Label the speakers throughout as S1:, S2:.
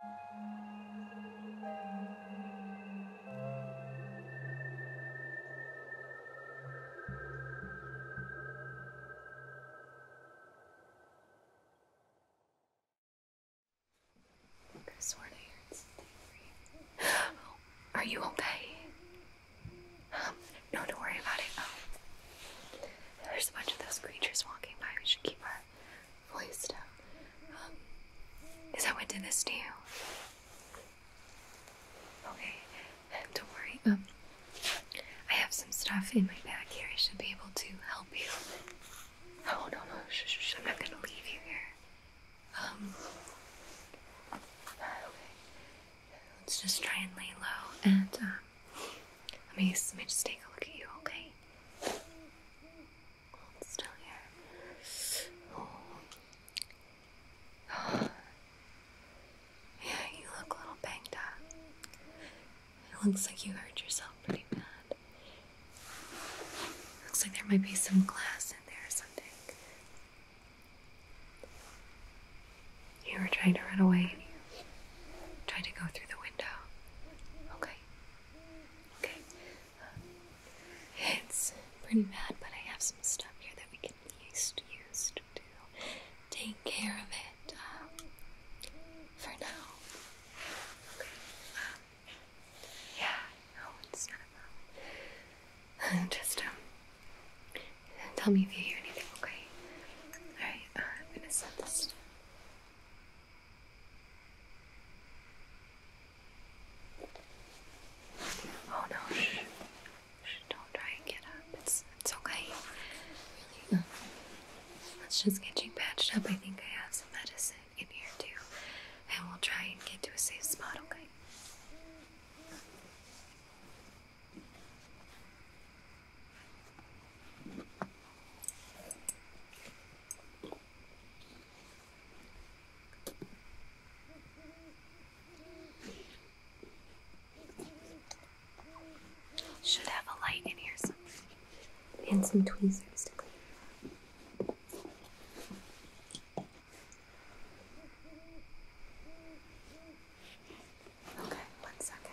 S1: I swear to you. are you okay? Um, no, don't worry about it. Um, there's a bunch of those creatures walking by. We should keep our our voice um, is that what did this to you? Okay, don't worry. Um, I have some stuff in my bag here. I should be able to help you. Oh no no, shh, I'm not gonna leave you here. Um, Let's just try and lay low and um, let me let me just take a look at you, okay? still here. Yeah, you look a little banged up. It looks like you hurt yourself pretty bad. Looks like there might be some glass in there or something. You were trying to run away Trying to go through the window. Okay. Okay. it's pretty bad, but I have some stuff here that we can at least use to take care of it um, for now. Um, yeah, no, it's not a Just um, tell me if you hear anything, okay? Alright, uh, I'm gonna set this Oh no, shh. Don't try and get up. It's, it's okay. let's just get you patched up. I think I have some medicine in here too. And we'll try and get to a safe spot, okay? Should have a light in here somewhere. And some tweezers to clean. Okay,
S2: one second.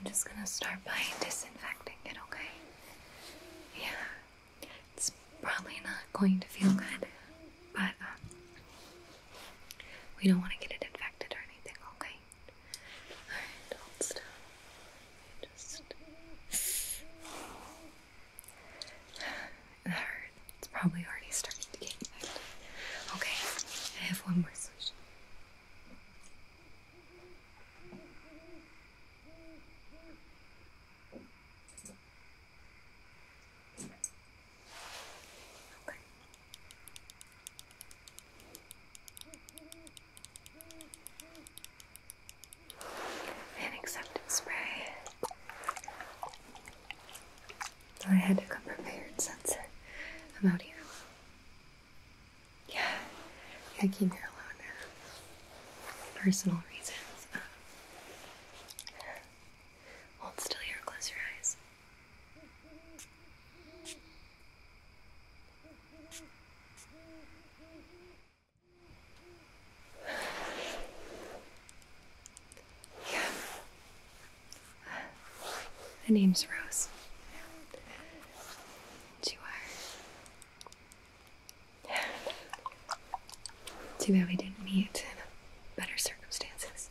S1: I'm just going to start by disinfecting it, okay? Yeah, it's probably not going to feel good, but um, we don't want to get it infected or anything, okay? Alright, hold still. It's probably already starting to get infected. Okay, I have one more solution. Okay and acceptance spray. I had to come prepared censor. I'm out here. Yeah, I came here alone Personal reasons. Um, hold still here, close your eyes. Yeah. My name's Rose. you are. Too bad we didn't meet in better circumstances.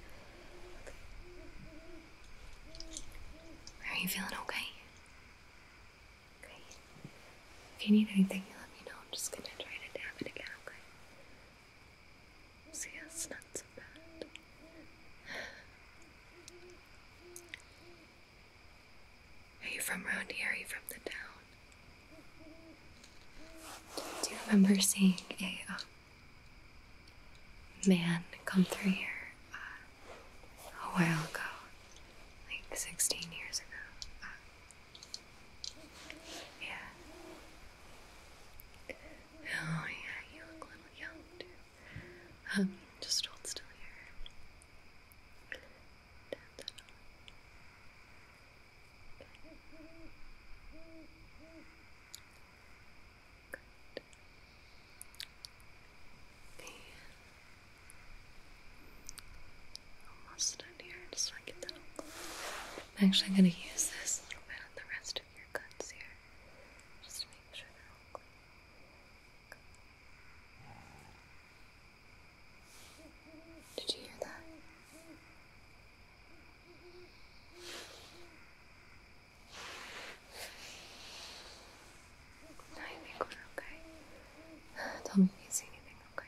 S1: Are you feeling okay? Okay. If you need anything, you let me know. I'm just gonna try to dab it again, okay? See, that's not so bad. Are you from around here? Are you from the town? Do you remember seeing a uh, man come through here uh, a while ago, like 16 years ago. yeah. Oh, yeah, you look a little young, um, just hold still here. Good. Almost done here, just so I get that I'm actually going to use this a little bit on the rest of your cuts here, just to make sure they're all clean. Did you hear that? I think we're okay. Tell me if you see anything, Okay.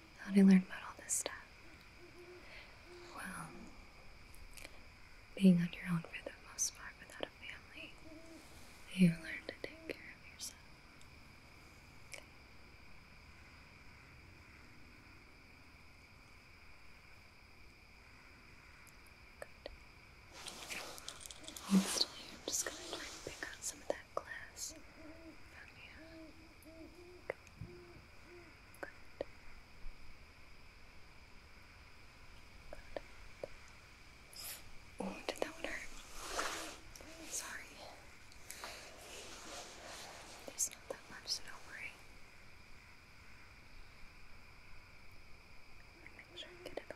S1: How did I learn about all this stuff? Well, being on your own for the most part without a family, you learn to take care of yourself. Good. still here. I'm just going to pick out some of that glass from you. Oh, did that one hurt? Sorry. There's not that much, so don't worry.
S2: make sure I get it all.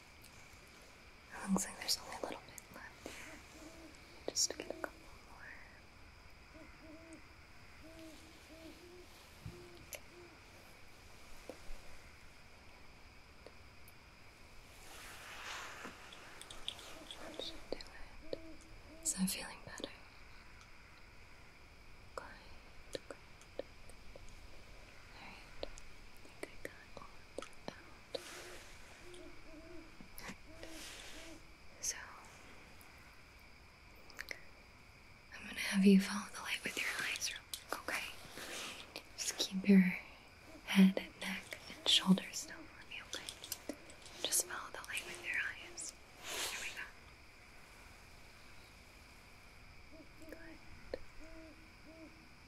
S1: It looks like there's only a little bit left Just get a couple more. should do it. Is that feeling better? good. I So, I'm gonna have you follow the light with your eyes, okay? Just keep your head and neck and shoulders still for me, okay? Just follow the light with your eyes. Here we go. Good.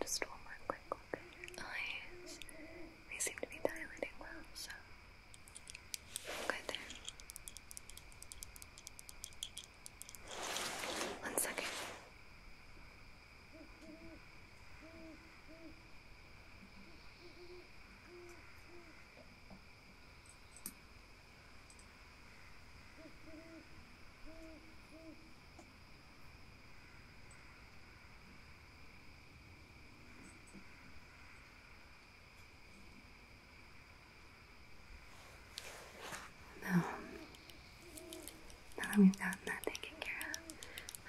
S1: Just one more quick look at your eyes. They seem to be dilating well, so good there. One second. Now, now we've gotten that taken care of,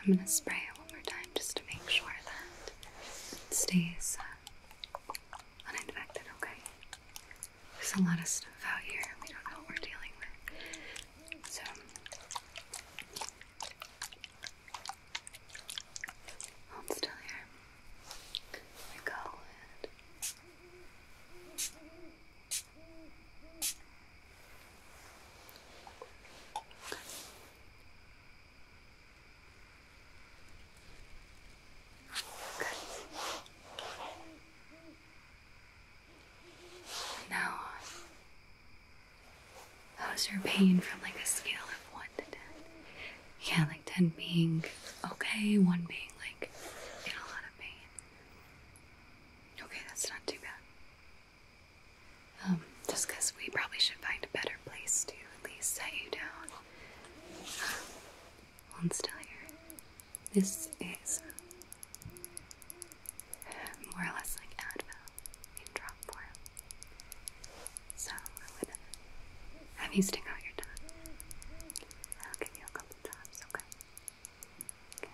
S1: I'm going to spray it one more time just to make sure that it stays uh, uninfected, okay? There's a lot of stuff out here. We don't know what we're dealing with. So,
S2: hold oh, still here. we go.
S1: Good. How's your pain from like a scale of 1 to 10? Yeah, like 10 being okay, 1 being like in a lot of pain. Okay, that's not too bad. Um, just because we probably should find a better place to at least set you down. Well, um, here. This is um, more or less like Advil in drop form. So uh, have you stick out your tongue. I'll give you a couple times, Okay.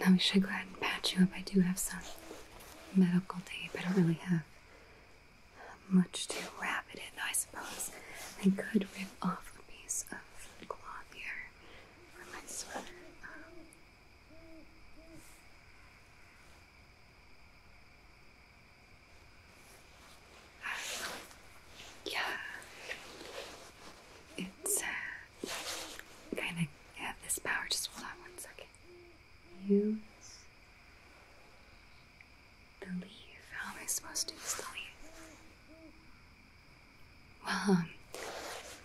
S1: Now we should go ahead and patch you up. I do have some medical tape. I don't really have much to wrap it in, I suppose. I could rip off a piece of cloth here for my sweater. Um, yeah, it's uh, I have this power. Just hold on one second. Use the leaf. How am I supposed to use the leaf? Well, um,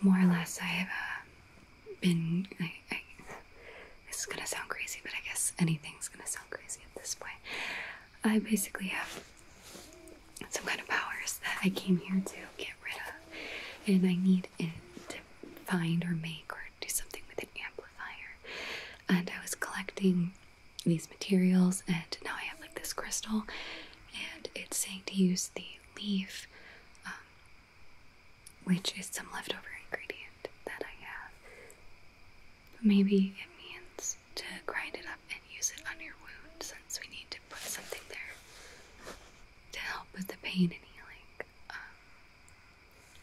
S1: more or less, I have uh, been. I, this is gonna sound crazy, but I guess anything's gonna sound crazy at this point. I basically have some kind of powers that I came here to get rid of, and I need find and find or make or do something with an amplifier. And I was collecting these materials, and now I have like this crystal, and it's saying to use the leaf, um, which is some leftover ingredient that I have. Maybe it means to grind it up and use it on your wound since we need to put something there to help with the pain and healing. Um,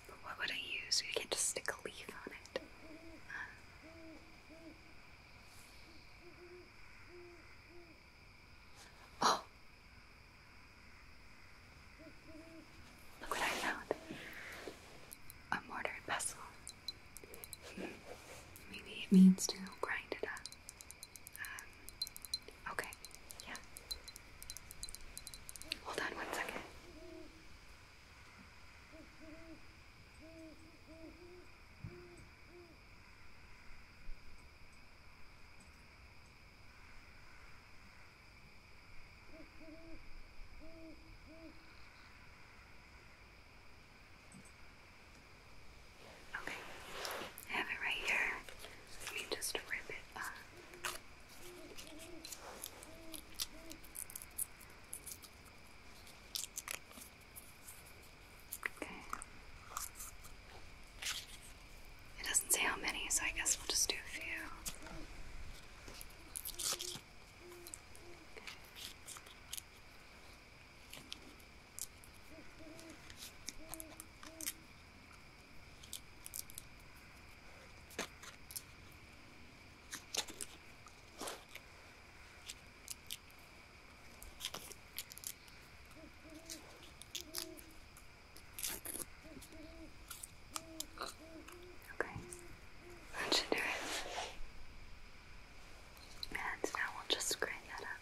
S1: but what would I use? You can't just stick a leaf on it.
S2: Um, oh. Look what I found. A mortar
S1: and pestle. Hmm. Maybe it means to grind it up. Um, okay, yeah.
S2: Hold on one second. Okay, have it right here. Let me just rip it Okay. It doesn't say how many, so I guess we'll just
S1: do a few. Okay, that should do it. And now we'll just grind that up.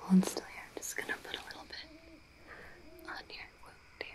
S1: Hold still here. I'm just gonna put a little bit on your wound here.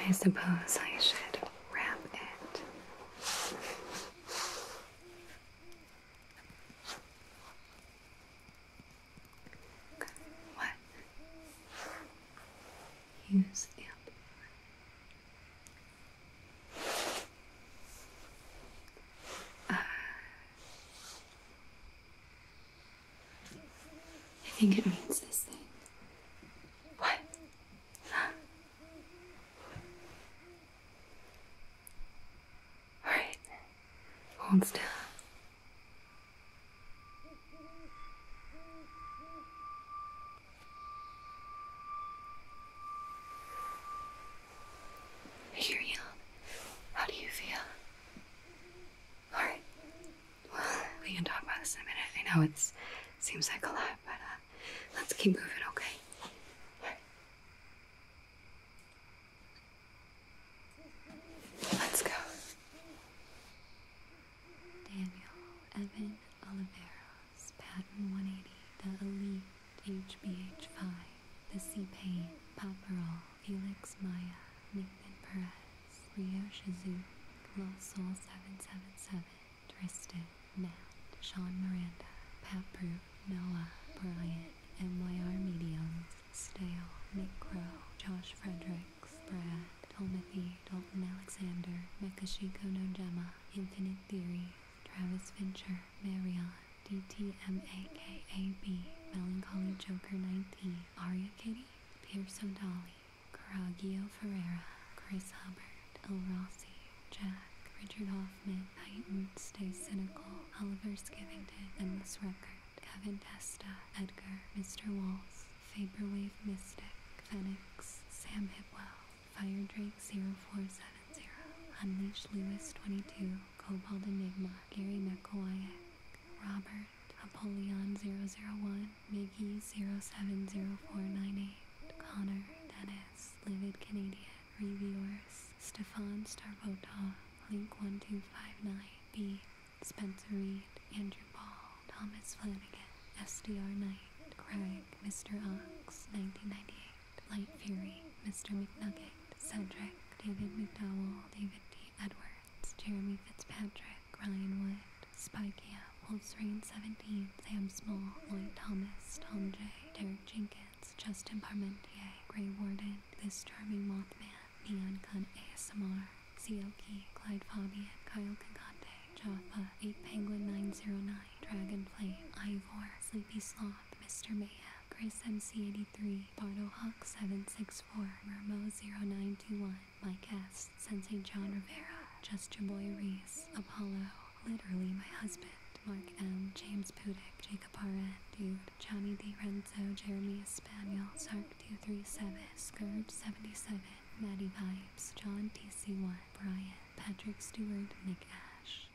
S1: I suppose I should wrap it. What? Use amp. Uh, I think it means this thing. What? Alright. Hold still. I hear you. How do you feel? Alright. Well, we can talk about this in a minute. I know it seems like a lot, but uh, let's keep moving, okay? Let's go. Felix Maya, Nathan Perez, Rio Shizu, Lil Soul 777, Tristan, Matt, Sean Miranda, Pat Brew, Noah, Bryant, MYR Mediums, Stale, Nick Crow, Josh Fredericks, Brad, Tolmathy, Dalton Alexander, Mekashiko Nojema, Infinite Theory, Travis Venture, Marianne. DTMAKAB, Melancholy Joker 19, Aria Kitty, Pierce Dolly Caraggio Ferreira, Chris Hubbard, El Rossi, Jack, Richard Hoffman, Titan, Stay Cynical, Oliver Skivington, This Record, Kevin Testa, Edgar, Mr. Walls, Vaporwave Mystic, Phoenix, Sam Hipwell, Fire Drake 0470, Unleash Lewis 22, Cobalt Enigma, Gary Mekoyak, Robert, Apollyon 001, Mickey 070498, Connor, Dennis, Livid Canadian, Reviewers, Stefan Starbota Link1259, B, Spencer Reed, Andrew Paul, Thomas Flanagan, SDR Knight, Craig, Mr. Ox, 1998, Light Fury, Mr. McNugget, Cedric, David McDowell, David D. Edwards, Jeremy Fitzpatrick, Ryan Wood, Spy Camp, Wolf's Rain 17, Sam Small, Lloyd Thomas, Tom J., Derek Jenkins, Justin Parmentier, Gray Warden, This Charming Mothman, Neon Gun ASMR, Seoki, Clyde Fabian, Kyle Kakante, Jaffa, 8 Penguin 909, Dragon Dragonflame, Ivor, Sleepy Sloth, Mr. Mayhem, Grace MC83, Bardo Hawk 764, Ramo 0921, My guest Sensei John Rivera, Justin Boy Reese, Apollo, literally my husband. Mark M, James Pudick, Jacob R.N., Dude, Johnny De Renzo, Jeremy Espaniel, Sark237, Scourge77, Maddie Pipes, John TC1, Brian, Patrick Stewart, Nick Ash.